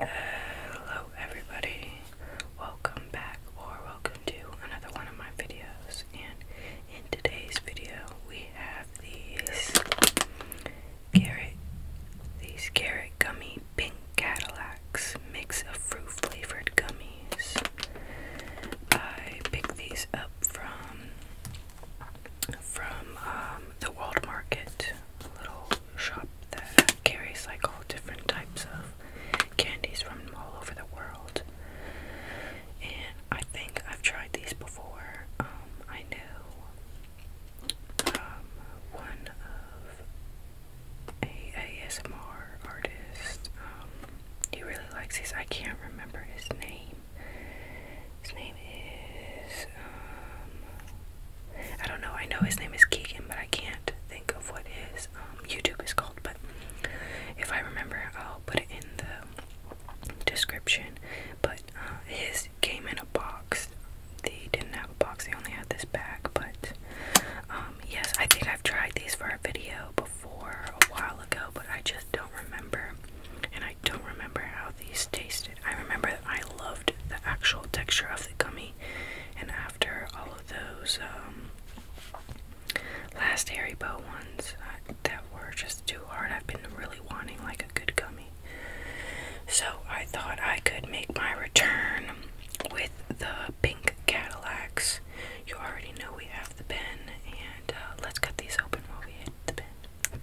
Hello everybody, welcome back or welcome to another one of my videos and in today's video we have these carrot, these carrot gummy pink Cadillacs mix of fruit flavored gummies. I picked these up from from um, the World Market, shop that carries like all different types of candies from all over the world. And I think I've tried these before. Um, I know um, one of a ASMR artist. Um, he really likes these. I can't remember his name. His name is um, I don't know. I know his name is Keegan, but I can't think of what his um, YouTube is called. But if I remember, I'll put it in the description. But uh, his came in a box. They didn't have a box. They only had this bag. But um, yes, I think I've tried these for a video before a while ago, but I just don't remember. And I don't remember how these taste I remember that I loved the actual texture of the gummy, and after all of those um, last Harry Bow ones uh, that were just too hard, I've been really wanting like a good gummy. So I thought I could make my return with the pink Cadillacs. You already know we have the pen, and uh, let's cut these open while we hit the pen.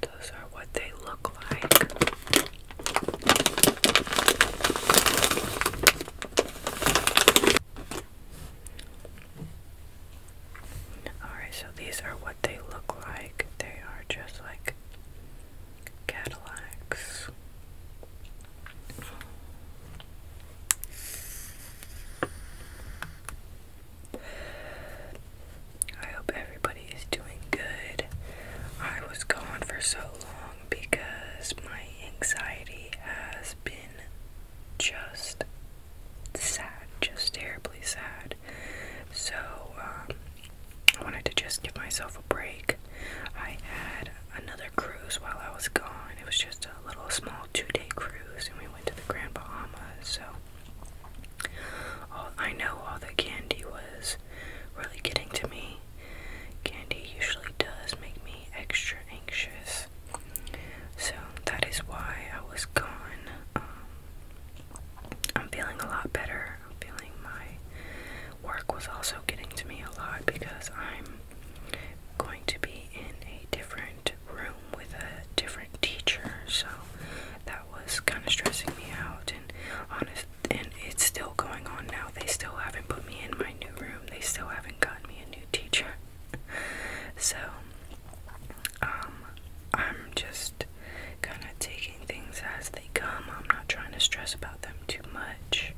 Those are what they look like. Alright, so these are what they look like. They are just like Cadillacs. I hope everybody is doing good. I was gone for so long because my anxiety has been just sad, just terribly sad. So, um, I wanted to just give myself a break. I had another cruise while I was gone. It was just a little small two day cruise, and we went to the Grand Bahamas. So, I know all the candy was really getting to me. Candy usually does make me extra anxious. So that is why I was gone. Um, I'm feeling a lot better. I'm feeling my work was also getting to me a lot because I'm going to be in a different room with a different teacher, so that was kind of stressing me out. And honest, and it's still going on now. They still haven't put me in my new room. They still haven't gotten me a new teacher. So, um, I'm just kind of taking things as they come. I'm not trying to stress about them too much.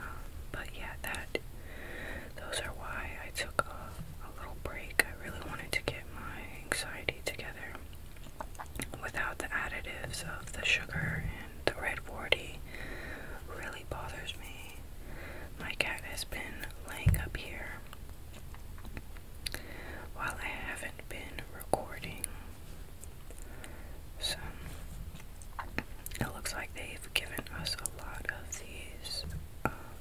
Um, but yeah, that those are why I took a little break. I really wanted to get my anxiety together without the additives of the sugar and the red warty really bothers me. My cat has been laying up here while I haven't been recording. So it looks like they've given us a lot of these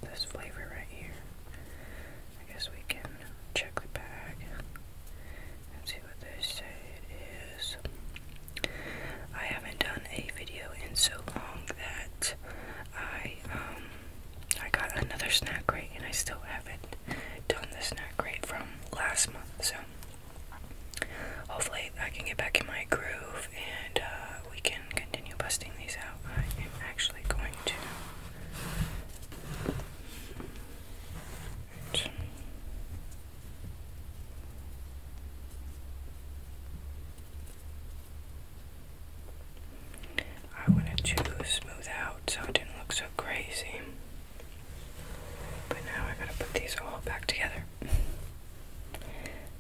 this flavor right here. I guess we can check the bag and see what they say it is. I haven't done a video in so long that I um I got another snack crate and I still haven't done the snack crate from last month. So hopefully I can get back in my groove and uh, we can continue busting these out. I am actually going to. I wanted to smooth out so it didn't look so crazy. But now I gotta put these all back together.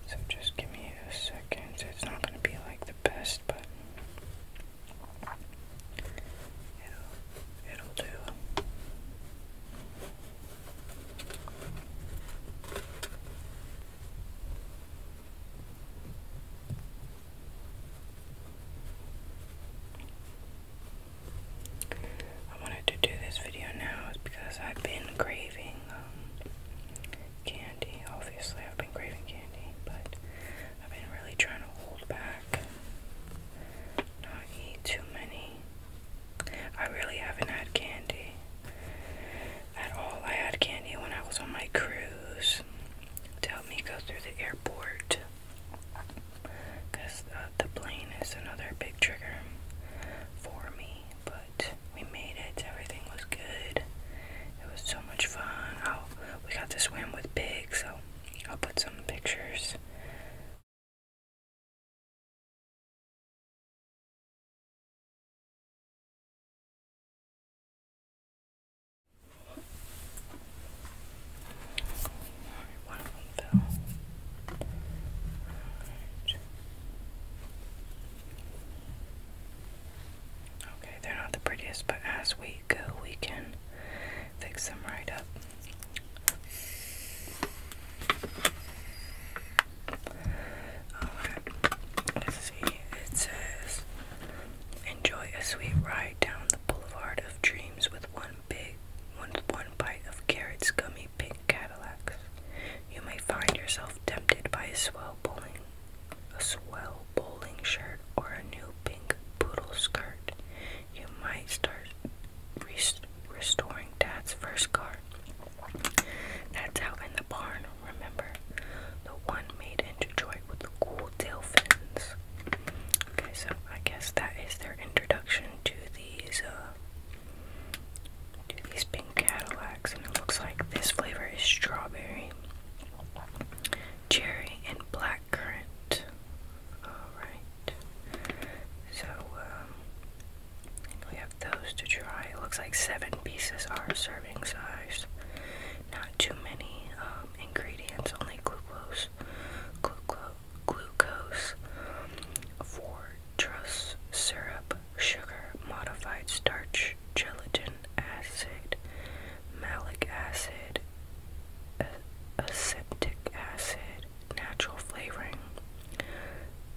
So just give me a second. It's not gonna be like the best, but I wanted to do this video now because I've been craving um, candy. Obviously, I've been craving candy, but I've been really trying to hold back, not eat too many. I really haven't had candy at all. I had candy when I was on my cruise to help me go through the airport because uh, the plane is another big trigger for me, but we made it. Everything was good. It was so much fun. we got to swim with pigs, so I'll put some pictures. Okay, they're not the prettiest, but as we go, we can fix them right up. let's see. It says, enjoy a sweet ride down the boulevard of dreams with one big, one, one bite of carrots, gummy, pink Cadillacs. You may find yourself tempted by a swell bowling a swell bowling shirt, or a new pink poodle skirt. You might start restoring Dad's first car. That's out in the barn, remember? The one made in Detroit with the cool tail fins. Okay, so I guess that is their introduction to these, uh, to these pink Cadillacs, and it looks like this flavor is strawberry cherry, and blackcurrant. Alright. So, um, we have those to try. It looks like seven pieces are serving size. Not too many um, ingredients, only glucose, glucose, glucose um, fortress syrup, sugar, modified starch, gelatin, acid, malic acid, acetic acid, natural flavoring,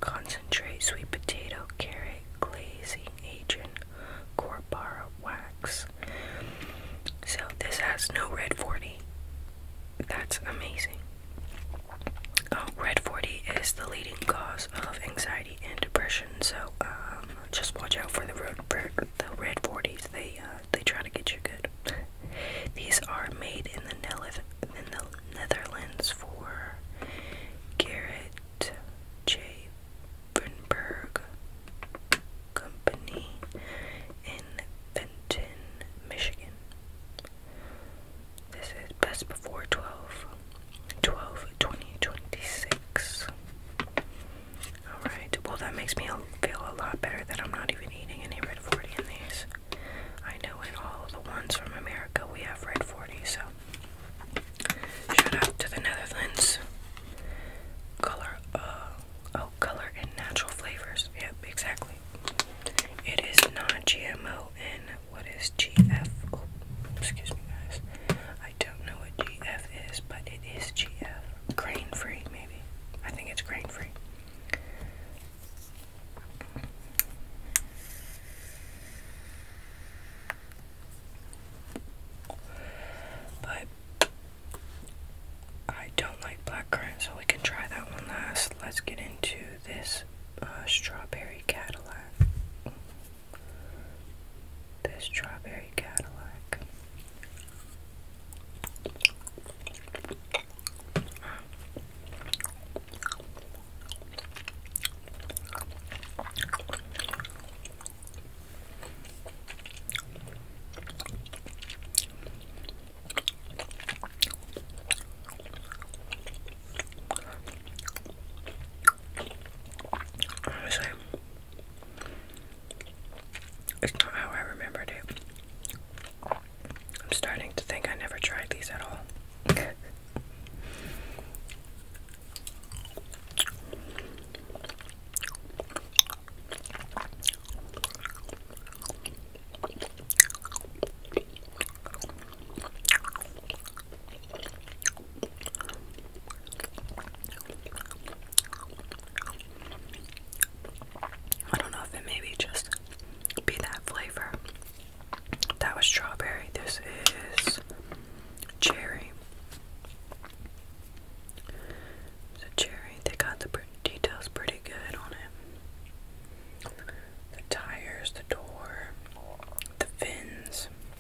concentrate, sweet potato, carrot, glazing agent, corbara wax. So this has no red 40. That's amazing. Um, red 40 is the leading cause of anxiety and depression. So, um, just watch out for the red 40s. They uh, they try to get you good. These are made in the Nel in the Netherlands for Garrett J. Brunberg Company in Benton, Michigan. This is best before 12. 12 20 26 all right well that makes me feel a lot better that i'm not even eating any red 40 in these i know in all of the ones from america we have red 40 so shout out to the netherlands color uh oh color and natural flavors yep exactly it is not gmo and what is gf excuse me guys I don't know what GF is, but it is GF. Grain free, maybe. I think it's grain free. But I don't like black blackcurrant, so we can try that one last. Let's get into this uh, strawberry Cadillac. This strawberry Cadillac. It's not how I remembered it. I'm starting to think I never tried these at all. I don't know if it maybe just be that flavor. That was strawberry. This is cherry. So cherry. They got the details pretty good on it. The tires, the door, the fins.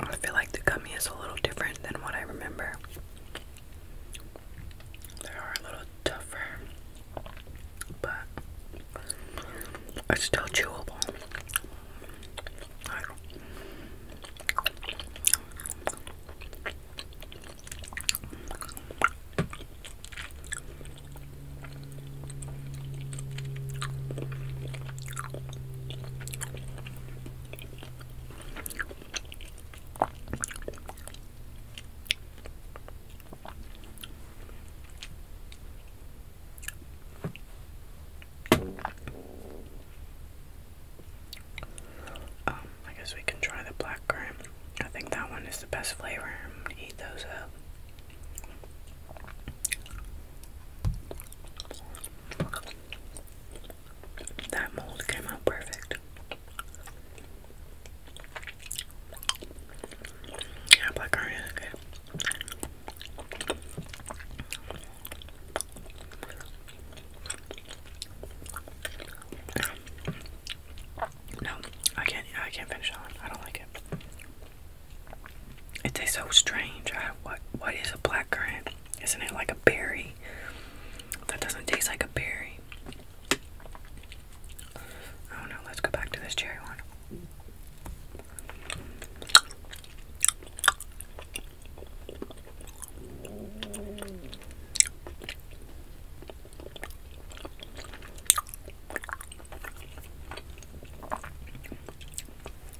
I feel like the gummy is a little different than what I remember. They are a little tougher, but it's still chewable. Oh, I guess we can try the black currant. I think that one is the best flavor. eat those up. That mold came out perfect. Yeah, black currant No, I can't. I can't finish that I don't like it. It tastes so strange. what? What is a black currant? Isn't it like a berry? That doesn't taste like a berry. Oh no, let's go back to this cherry one.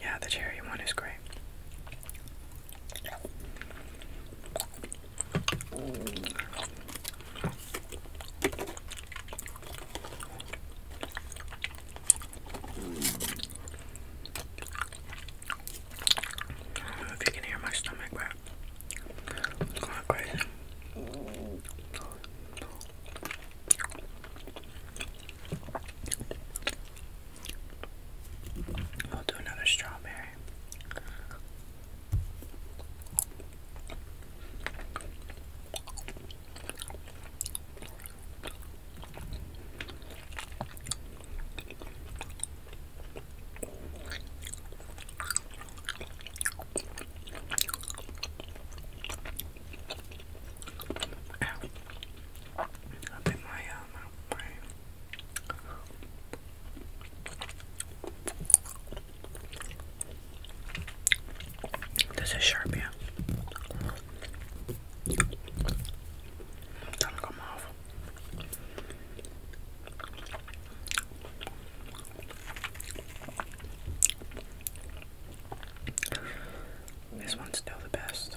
Yeah, the cherry one is great. I don't know if you can hear my stomach, but I'll do another strawberry. Open my uh, this is sharp, yeah. This one's still the best.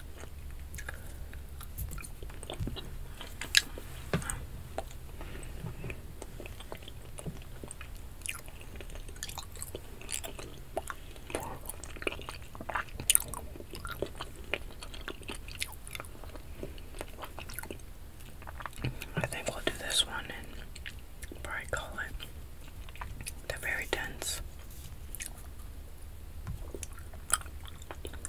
I think we'll do this one and probably call it. They're very dense.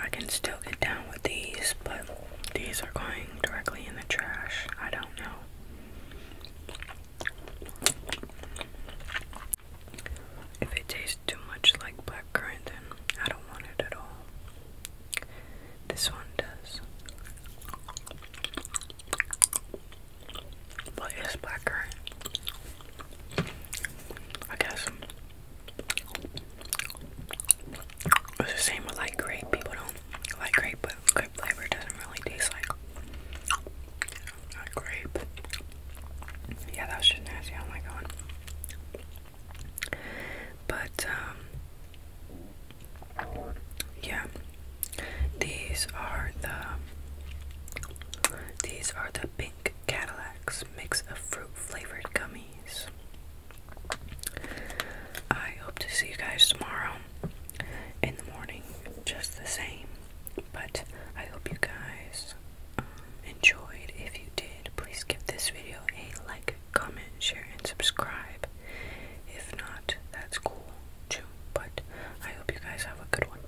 I can still get down with these, but these are going directly in the trash. I don't know. If it tastes too much like blackcurrant, then I don't want it at all. This one does. What is blackcurrant? I guess it's the same with like grape. People don't like grape, but grape flavor doesn't really taste like grape. Yeah, that was just nasty. Oh my god. But, um, yeah, these are the, these are the Pink Cadillacs mix of fruit flavored gummies. I hope to see you guys tomorrow in the morning, just the same. But I hope you guys um, enjoyed. If you did, please give this video a like, comment, share, and subscribe. If not, that's cool too. But I hope you guys have a good one.